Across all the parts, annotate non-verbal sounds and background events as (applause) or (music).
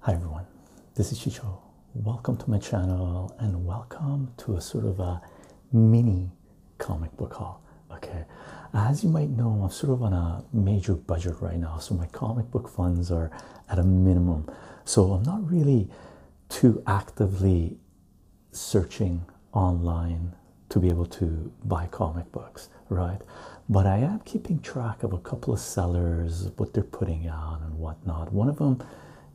Hi everyone, this is Chicho. Welcome to my channel and welcome to a sort of a mini comic book haul. Okay, as you might know, I'm sort of on a major budget right now, so my comic book funds are at a minimum. So I'm not really too actively searching online to be able to buy comic books, right? But I am keeping track of a couple of sellers, what they're putting out and whatnot. One of them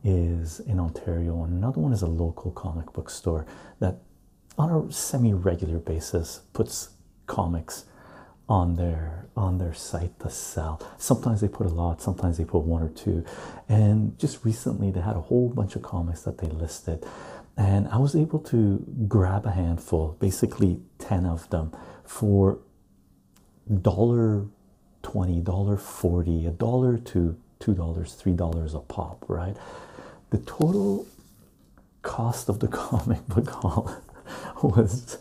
is in Ontario, and another one is a local comic book store that on a semi-regular basis puts comics on their on their site to sell. Sometimes they put a lot, sometimes they put one or two. And just recently, they had a whole bunch of comics that they listed, and I was able to grab a handful, basically 10 of them, for $1.20, $1.40, a dollar to $2, $3 a pop, right? The total cost of the (laughs) comic book haul (laughs) was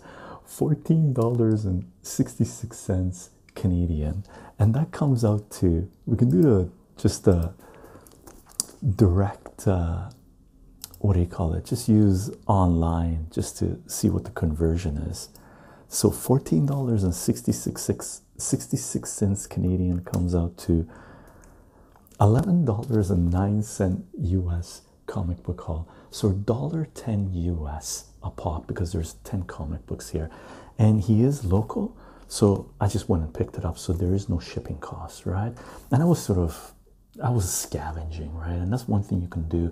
$14.66 Canadian, and that comes out to we can do the just the direct uh, what do you call it? Just use online just to see what the conversion is. So fourteen dollars and sixty six sixty six cents Canadian comes out to eleven dollars and nine cent US comic book haul. So dollar ten US a pop because there's ten comic books here and he is local. So I just went and picked it up. So there is no shipping cost, right? And I was sort of, I was scavenging, right? And that's one thing you can do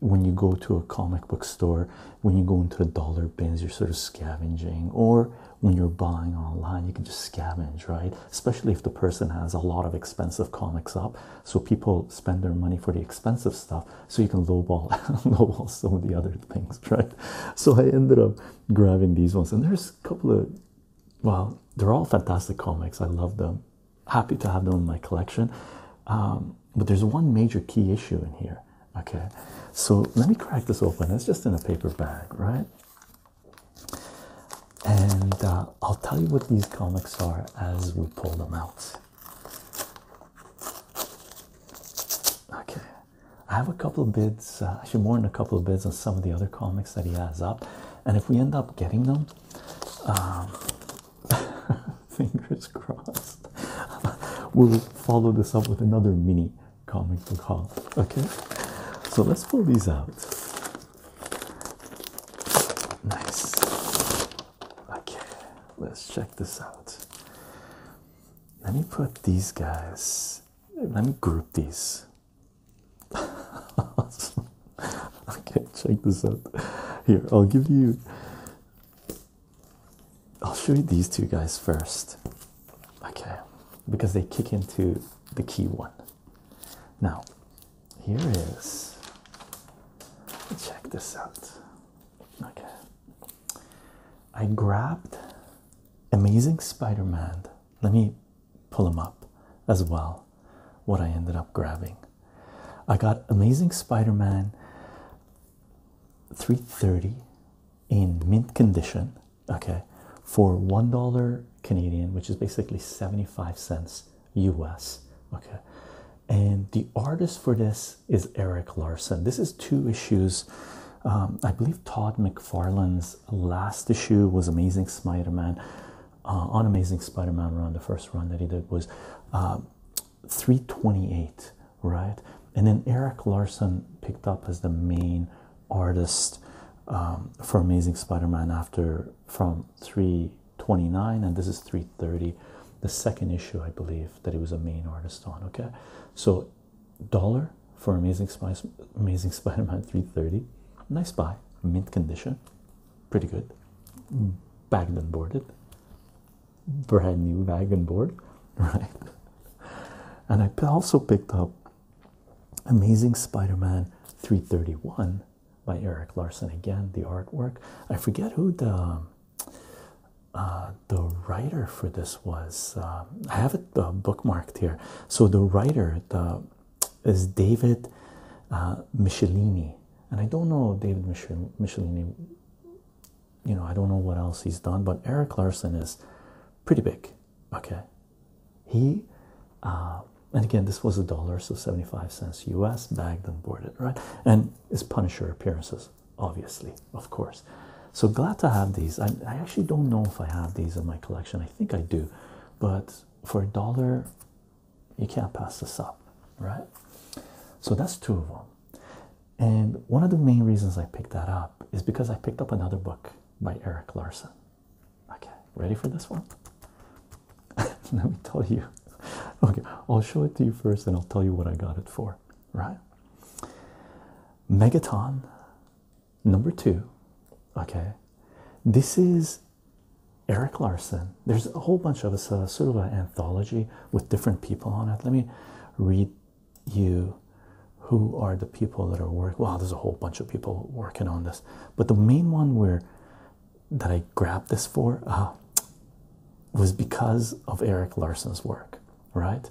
when you go to a comic book store, when you go into the dollar bins, you're sort of scavenging, or when you're buying online, you can just scavenge, right? Especially if the person has a lot of expensive comics up. So people spend their money for the expensive stuff so you can lowball (laughs) lowball some of the other things, (laughs) right? So I ended up grabbing these ones, and there's a couple of well, they're all fantastic comics. I love them. Happy to have them in my collection. Um, but there's one major key issue in here. Okay, so let me crack this open. It's just in a paper bag, right? And uh, I'll tell you what these comics are as we pull them out. Okay, I have a couple of bids, uh, actually more than a couple of bids on some of the other comics that he has up, and if we end up getting them, um, (laughs) fingers crossed, (laughs) we'll follow this up with another mini comic book Okay, so let's pull these out. Nice. Okay, let's check this out. Let me put these guys, let me group these. (laughs) okay, check this out. Here, I'll give you, I'll show you these two guys first. Okay, because they kick into the key one. Now, here is, check this out. Okay. I grabbed Amazing Spider Man. Let me pull him up as well. What I ended up grabbing. I got Amazing Spider Man 330 in mint condition, okay, for $1 Canadian, which is basically 75 cents US, okay. And the artist for this is Eric Larson. This is two issues. Um, I believe Todd McFarlane's last issue was Amazing Spider Man. Uh, on Amazing Spider Man run, the first run that he did was um, 328, right? And then Eric Larson picked up as the main artist um, for Amazing Spider Man after from 329, and this is 330, the second issue, I believe, that he was a main artist on, okay? So dollar for Amazing Spice, Amazing (laughs) Spider-Man 330. Nice buy, mint condition, pretty good. Bagged and boarded, brand new bag and board, (laughs) right? And I also picked up Amazing Spider-Man 331 by Eric Larson again. The artwork. I forget who the uh, the writer for this was um, I have it uh, bookmarked here. So the writer is David uh, Michelini, and I don't know David Michel Michelini. You know I don't know what else he's done, but Eric Larson is pretty big. Okay, he. Uh, and again, this was a dollar, so 75 cents US, bagged and boarded, right? And his Punisher appearances obviously, of course. So glad to have these. I actually don't know if I have these in my collection. I think I do, but for a dollar, you can't pass this up, right? So that's two of them. And one of the main reasons I picked that up is because I picked up another book by Eric Larson. Okay, ready for this one? (laughs) Let me tell you. (laughs) Okay, I'll show it to you first and I'll tell you what I got it for, right? Megaton number two. Okay, this is Eric Larson. There's a whole bunch of a uh, sort of an anthology with different people on it. Let me read you who are the people that are working. Wow, there's a whole bunch of people working on this, but the main one where that I grabbed this for uh, was because of Eric Larson's work right?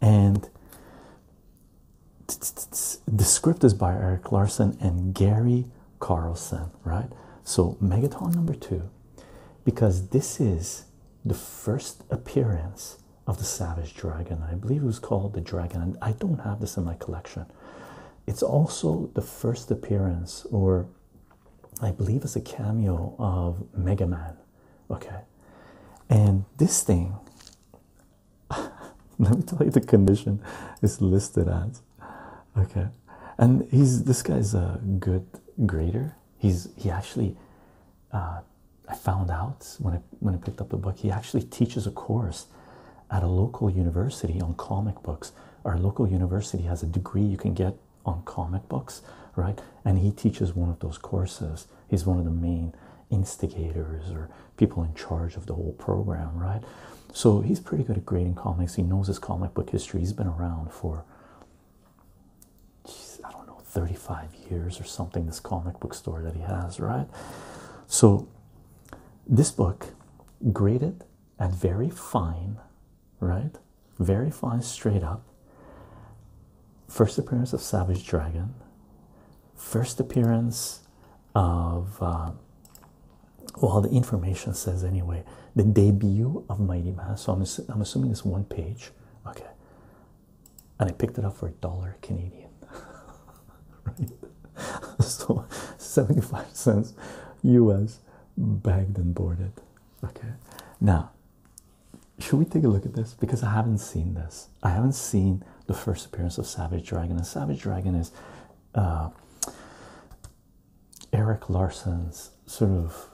And the script is by Eric Larson and Gary Carlson, right? So, Megaton number two, because this is the first appearance of the Savage Dragon. I believe it was called the Dragon, and I don't have this in my collection. It's also the first appearance, or I believe it's a cameo of Mega Man okay and this thing (laughs) let me tell you the condition is listed as okay and he's this guy's a good grader he's he actually uh, I found out when I when I picked up the book he actually teaches a course at a local university on comic books our local university has a degree you can get on comic books right and he teaches one of those courses he's one of the main instigators or people in charge of the whole program, right? So he's pretty good at grading comics. He knows his comic book history. He's been around for, geez, I don't know, 35 years or something, this comic book store that he has, right? So this book graded at very fine, right? Very fine, straight up. First appearance of Savage Dragon, first appearance of uh, well, the information says anyway, the debut of Mighty Mass. So I'm, I'm assuming it's one page, okay. And I picked it up for a dollar Canadian, (laughs) right? (laughs) So 75 cents US bagged and boarded, okay. Now, should we take a look at this? Because I haven't seen this. I haven't seen the first appearance of Savage Dragon. And Savage Dragon is uh, Eric Larson's sort of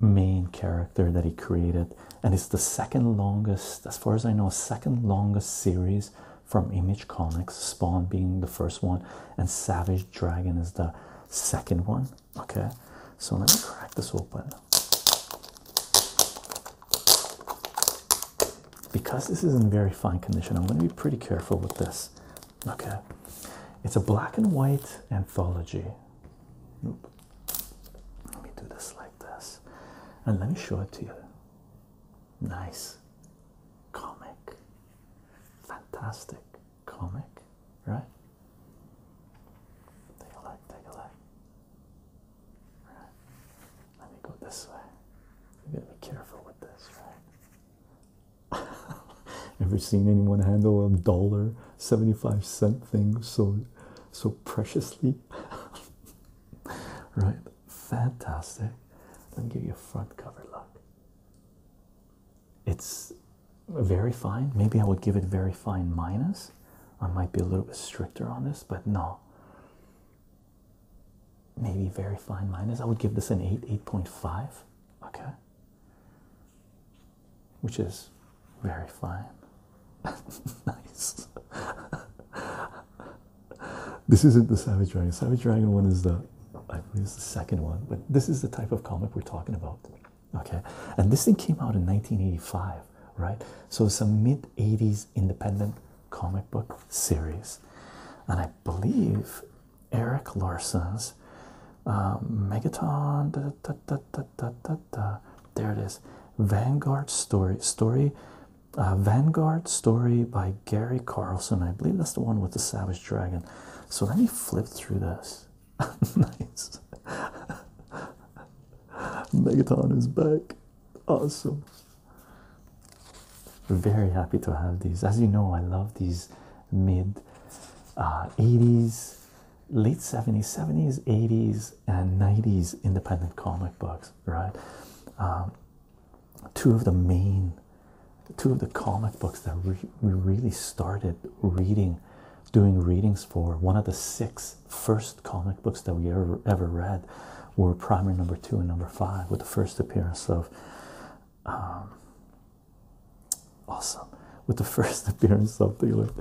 main character that he created. And it's the second longest, as far as I know, second longest series from Image Comics, Spawn being the first one, and Savage Dragon is the second one. Okay, so let me crack this open. Because this is in very fine condition, I'm going to be pretty careful with this. Okay, it's a black and white anthology. Let me do this like this, and let me show it to you. Nice comic, fantastic comic, right? Take a look, take a look. Let me go this way. You gotta be careful with this, right? (laughs) Ever seen anyone handle a dollar seventy-five cent thing so so preciously? (laughs) right? Fantastic. Let me give you a front cover look. It's very fine. Maybe I would give it very fine minus. I might be a little bit stricter on this, but no. Maybe very fine minus. I would give this an 8, 8.5. Okay. Which is very fine. (laughs) nice. this isn't the Savage Dragon. Savage Dragon one is the I believe it's the second one, but this is the type of comic we're talking about. Okay. And this thing came out in 1985 right? So it's a mid 80s independent comic book series, and I believe Eric Larson's um, Megaton. There it is, Vanguard story story. Uh, Vanguard story by Gary Carlson. I believe that's the one with the Savage Dragon. So let me flip through this. (laughs) nice. Megaton is back. Awesome. Very happy to have these. As you know, I love these mid 80s, uh, late 70s, 70s, 80s, and 90s independent comic books, right? Um, two of the main, two of the comic books that we, we really started reading, doing readings for. One of the six First comic books that we ever ever read were primer number two and number five with the first appearance of um, awesome with the (laughs) first appearance of the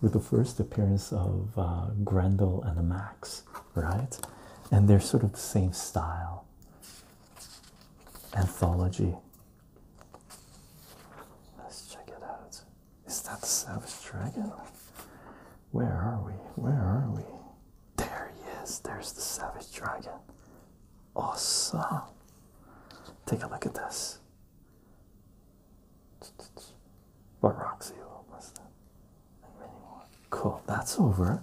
with the first appearance of uh, Grendel and the Max right and they're sort of the same style anthology let's check it out is that the Savage Dragon? Where are we? Where are we? There he is. There's the Savage Dragon. Awesome. Take a look at this. What rocks you was that? Cool. That's over.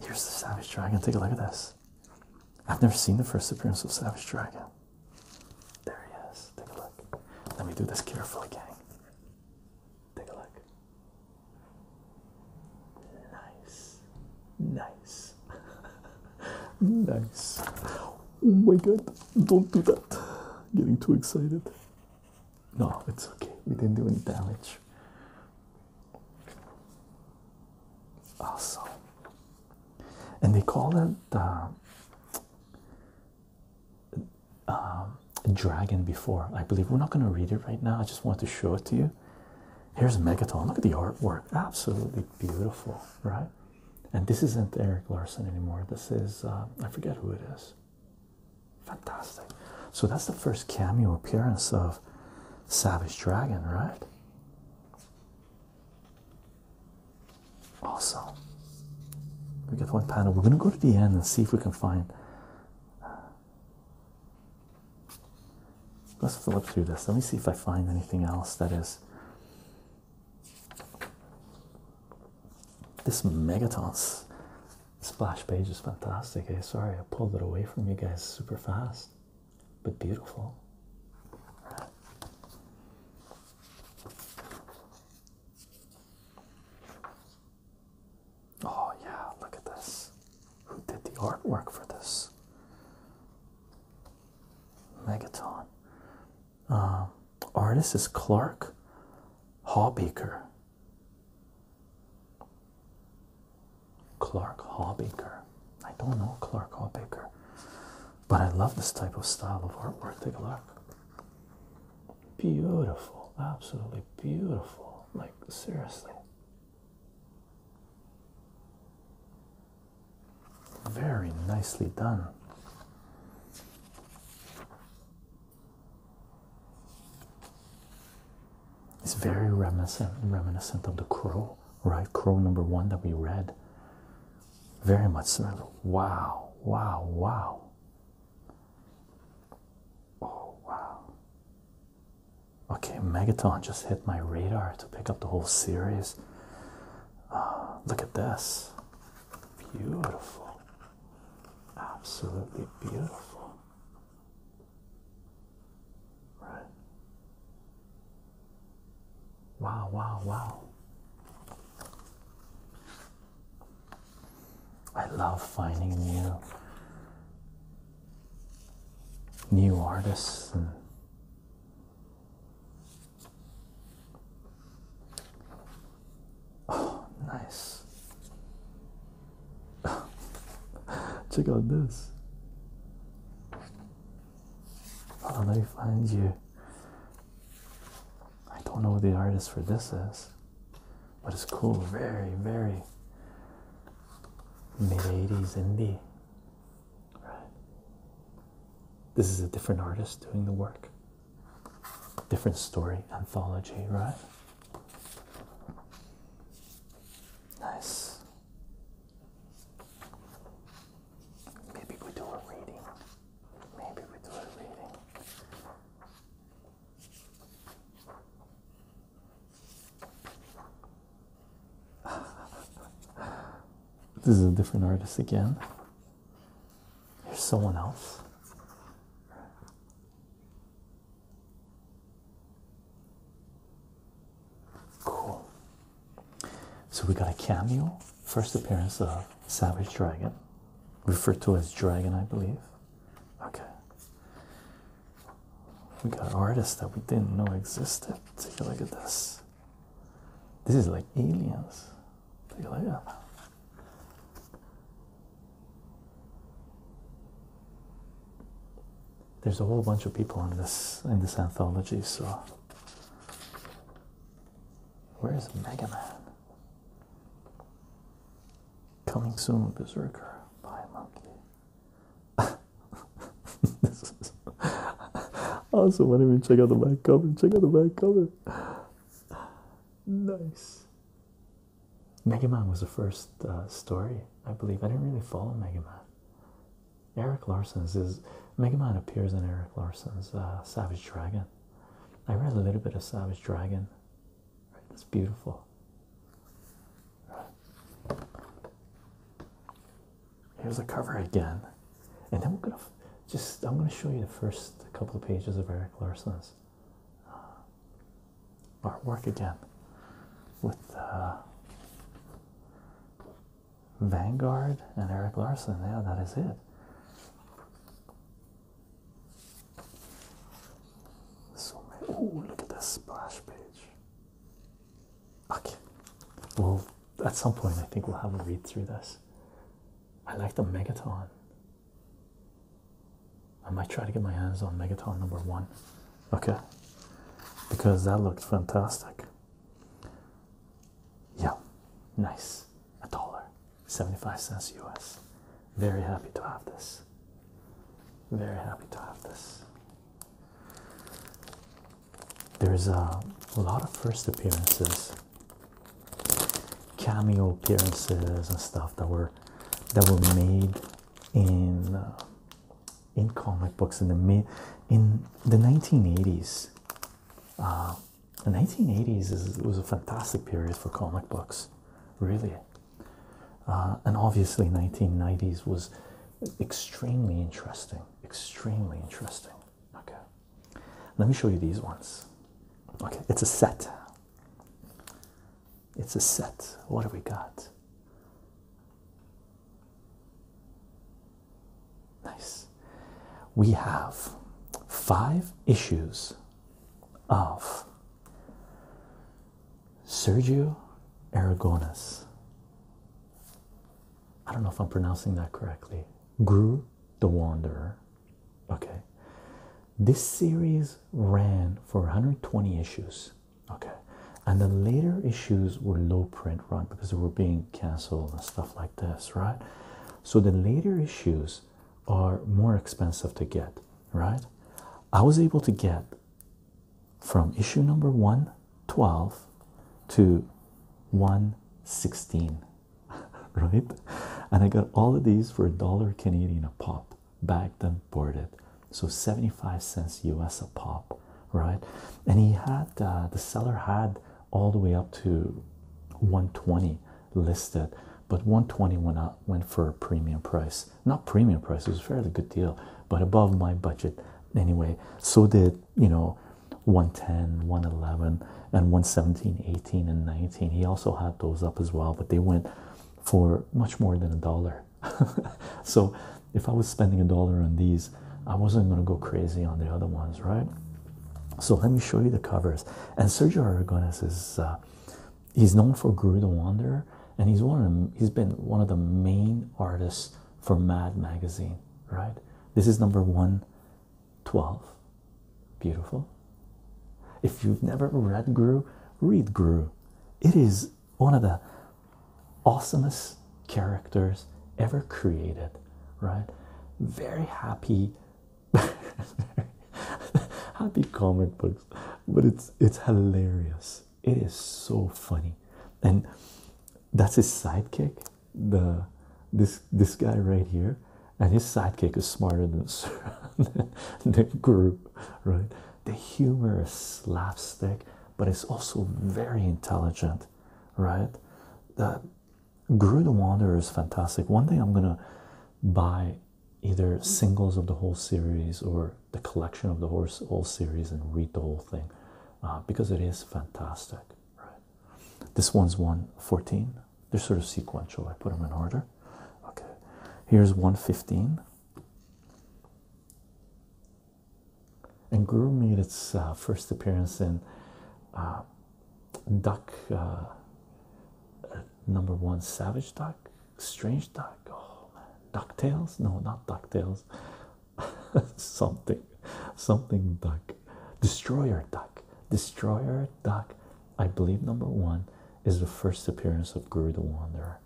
Here's the Savage Dragon. Take a look at this. I've never seen the first appearance of Savage Dragon. There he is. Take a look. Let me do this carefully, gang. Take a look. Nice, nice, (laughs) nice. Oh my god, don't do that. Getting too excited. No, it's okay. We didn't do any damage. Awesome. And they call it uh, um, dragon before, I believe. We're not going to read it right now. I just want to show it to you. Here's Megaton. Look at the artwork. Absolutely beautiful, right? And this isn't Eric Larson anymore. This is, uh, I forget who it is. Fantastic. So that's the first cameo appearance of Savage Dragon, right? Awesome. We get one panel. We're going to go to the end and see if we can find. Uh, let's flip through this. Let me see if I find anything else that is. This Megatons splash page is fantastic. Hey, eh? sorry I pulled it away from you guys super fast, but beautiful. Oh, yeah, look at this. Who did the artwork for this? Megaton. Uh, artist is Clark Hawbaker. Clark Hawbaker. I don't know Clark Hawbaker, but I love this type of style of artwork. Take a look. Beautiful, absolutely beautiful. Like, seriously. Very nicely done. It's very reminiscent reminiscent of the crow, right? Crow number one that we read. Very much similar. Wow, wow, wow. Oh wow. Okay, Megaton just hit my radar to pick up the whole series. Ah, look at this. Beautiful. Absolutely beautiful. Right. Wow, wow, wow. I love finding new new artists and oh nice (laughs) check out this oh, let me find you I don't know who the artist for this is, but it's cool. Very, very mid 80s indie. Right? This is a different artist doing the work, different story, anthology, right? Nice. Maybe we do a reading. Maybe we do a reading this is a different artist again. Here's someone else. Cool. So we got a cameo, first appearance of Savage Dragon, referred to as Dragon, I believe. Okay. We got artists that we didn't know existed. Take a look at this. This is like aliens. Take a look at that. There's a whole bunch of people in this in this anthology, so where's Mega Man? Coming soon, Berserker. Bye, monkey. (laughs) Also, is awesome. Why don't check out the back cover? Check out the back cover. Nice. Mega Man was the first uh, story, I believe. I didn't really follow Mega Man. Eric Larson's is Mega Man appears in Eric Larson's uh, Savage Dragon. I read a little bit of Savage Dragon that's beautiful. Here's the cover again, and then we're gonna just I'm gonna show you the first couple of pages of Eric Larson's uh, artwork again with uh, Vanguard and Eric Larson. Yeah, that is it. So many. Oh, look at that splash page. Okay. Well, at some point, I think we'll have to read through this. I like the Megaton. I might try to get my hands on Megaton number one. Okay. Because that looks fantastic. Yeah. Nice a dollar 75 cents US. Very happy to have this. Very happy to have this. There's a lot of first appearances, cameo appearances and stuff that were that were made in uh, in comic books in the in the 1980s. Uh, the 1980s is, was a fantastic period for comic books, really. Uh, and obviously, 1990s was extremely interesting. Extremely interesting. Okay, let me show you these ones. Okay, it's a set. It's a set. What do we got? Nice. We have five issues of Sergio Aragonis. I don't know if I'm pronouncing that correctly. "Gru, the Wanderer. Okay. This series ran for 120 issues. Okay. And the later issues were low print run because they were being cancelled and stuff like this, right? So the later issues are more expensive to get, right? I was able to get from issue number 112 to 116, (laughs) right? And I got all of these for a dollar Canadian a pop, bagged and boarded. So 75 cents US a pop, right? And he had uh, the seller had all the way up to 120 listed, but 120 went out went for a premium price. Not premium price, it was a fairly good deal, but above my budget anyway. So did you know 110, 111, and 117, 18, and 19. He also had those up as well, but they went for much more than a dollar. (laughs) so if I was spending a dollar on these, I wasn't going to go crazy on the other ones, right? So let me show you the covers. And Sergio Aragones is uh, he's known for the Wanderer, and he's one of he's been one of the main artists for Mad Magazine, right? This is number 112. Beautiful. If you've never read Guru, read Guru. It is one of the awesomest characters ever created, right? Very happy, (laughs) happy comic books but it's it's hilarious it is so funny and that's his sidekick the this this guy right here and his sidekick is smarter than the, (laughs) the group right the humor is slapstick but it's also very intelligent right the Grew the Wanderer is fantastic. One day I'm gonna buy either mm-hmm. singles of the whole series or the collection of the whole series and read the whole thing uh, because it is fantastic right this one's 114 they're sort of sequential i put them in order okay here's 115 and guru made its uh, first appearance in uh, duck number one Savage Duck, Strange Duck, oh man, DuckTales? No, not DuckTales. (laughs) something, something duck, Destroyer Duck, Destroyer Duck. I believe number one is the first appearance of Guru the Wanderer.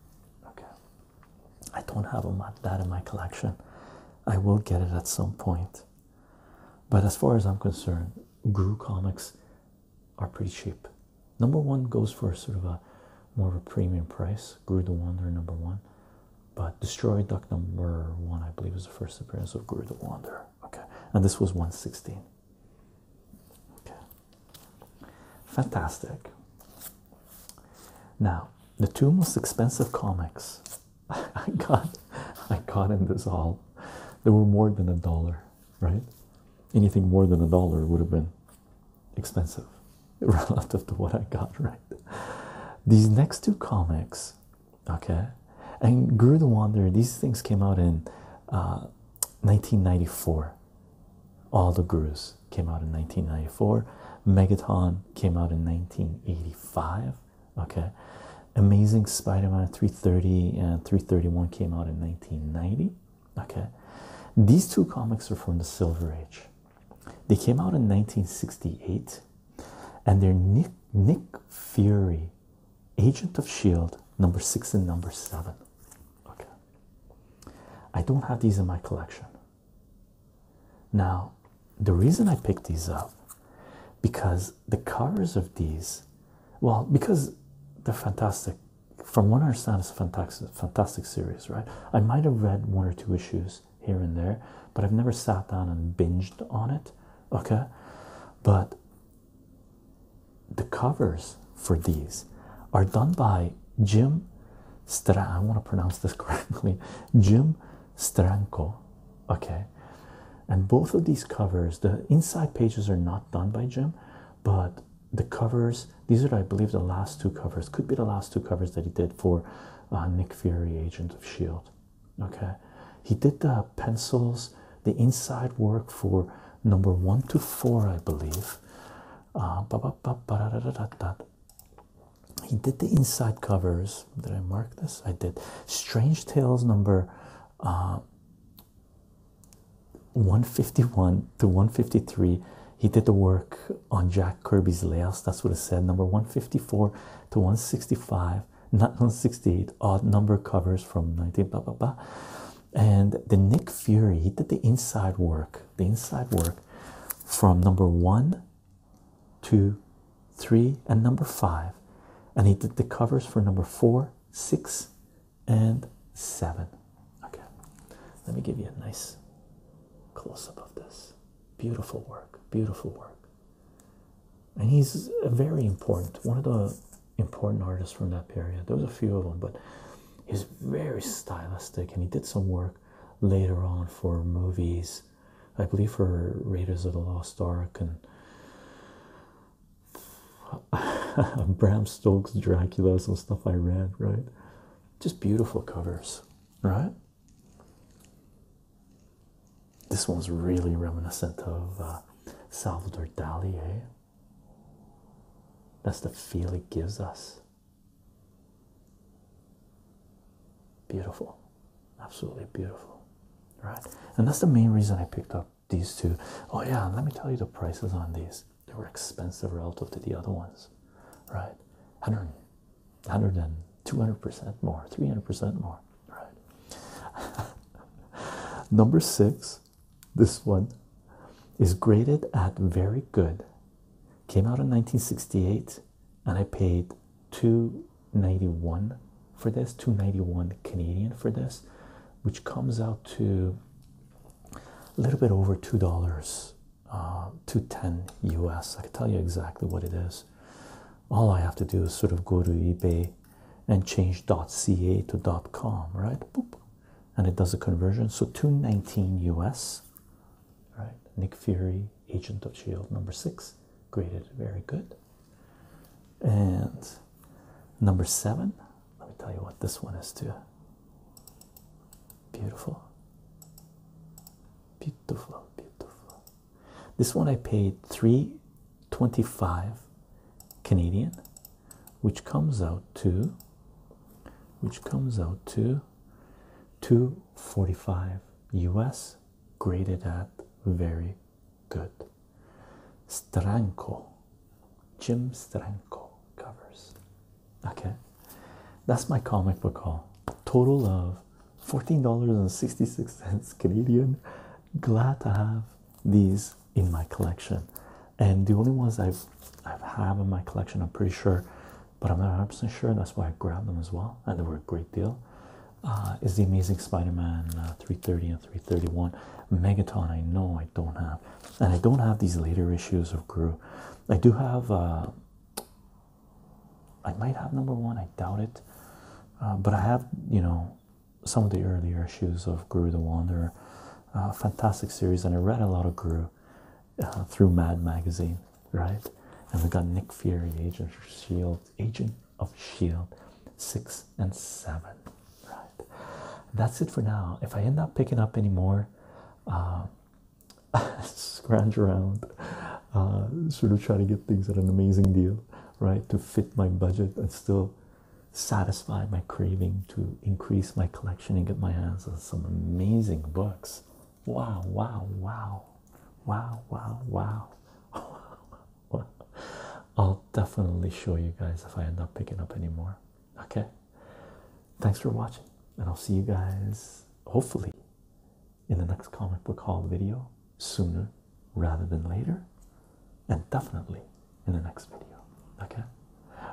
Okay, I don't have a, that in my collection. I will get it at some point. But as far as I'm concerned, Guru Comics are pretty cheap. Number one goes for sort of a more of a premium price. Gru the Wanderer number one, but Destroyed Duck number one, I believe, is the first appearance of Gru the Wanderer. Okay, and this was 116. Okay, fantastic. Now, the two most expensive comics (laughs) I got, I got in this haul. They were more than a dollar right? Anything more than a dollar would have been expensive (laughs) relative to what I got, right? These next two comics, okay, and Grew the Wanderer, these things came out in 1994. Uh, All the Gurus came out in 1994. Megaton came out in 1985. Okay, Amazing Spider Man 330 and 331 came out in 1990. Okay, these two comics are from the Silver Age. They came out in 1968, and they're Nick Fury, Agent of Shield, number six and number seven. Okay, I don't have these in my collection. Now, the reason I picked these up because the covers of these, well, because they're fantastic from what I understand, it's fantastic, fantastic series, right? I might have read one or two issues here and there, but I've never sat down and binged on it, okay? But the covers for these are done by Jim Stran. I want to pronounce this (laughs) correctly, Jim Stranko, okay? And both of these covers, the inside pages are not done by Jim, but the covers these are i believe the last two covers could be the last two covers that he did for uh, nick fury agent of shield okay he did the pencils the inside work for number one to four i believe uh, ba -ba -ba -da -da -da -da. he did the inside covers did i mark this i did strange tales number uh, 151 to 153 he did the work on jack kirby's layouts that's what it said number 154 to 165 not 168 odd number covers from 19 blah blah blah and the nick fury he did the inside work the inside work from number one two three and number five and he did the covers for number four six and seven. Okay, let me give you a nice close up of this. Beautiful work, beautiful work. And he's a very important, one of the important artists from that period. There was a few of them, but he's very stylistic, and he did some work later on for movies, I believe for Raiders of the Lost Ark and (laughs) Bram Stokes Dracula, some stuff I read, right? Just beautiful covers, right? This one's really reminiscent of uh, Salvador Dali, eh? That's the feel it gives us. Beautiful, absolutely beautiful, right? And that's the main reason I picked up these two, oh yeah, let me tell you the prices on these. They were expensive relative to the other ones, right? 100, 100 and 200% more, 300% more, right? (laughs) Number six, this one is graded at very good. Came out in 1968 and I paid 291 for this, 291 Canadian for this, which comes out to a little bit over two dollars, uh, two ten US. I can tell you exactly what it is. All I have to do is sort of go to eBay and change .ca to .com, right? Boop. And it does the conversion. So two nineteen US, right? Nick Fury, Agent of Shield, number six, graded very good. And Number seven, let me tell you what this one is too. Beautiful, beautiful, beautiful. This one I paid 325 Canadian, which comes out to which comes out to 245 US graded at very good. Stranko Jim Stranko covers. Okay, that's my comic book haul. Total of $14.66 Canadian. Glad to have these in my collection. And the only ones I've I've have in my collection, I'm pretty sure, but I'm not 100 sure. That's why I grabbed them as well, and they were a great deal. Uh, is the Amazing Spider-Man uh, 330 and 331 Megaton? I know I don't have and I don't have these later issues of Gru. I do have, uh, I might have number one, I doubt it, uh, but I have, you know, some of the earlier issues of Gru the Wanderer. Uh, fantastic series, and I read a lot of Gru through Mad Magazine, right? And we got Nick Fury, Agent of Shield, Agent of Shield, six and seven, right? That's it for now. If I end up picking up any more, uh, (laughs) scrounge around, uh, sort of try to get things at an amazing deal, right, to fit my budget and still satisfy my craving to increase my collection and get my hands on some amazing books. Wow, wow, wow, wow, wow, wow. (laughs) I'll definitely show you guys if I end up picking up any more. Okay. Thanks for watching, and I'll see you guys hopefully in the next comic book hall video sooner rather than later, and definitely in the next video. Okay,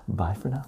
bye for now.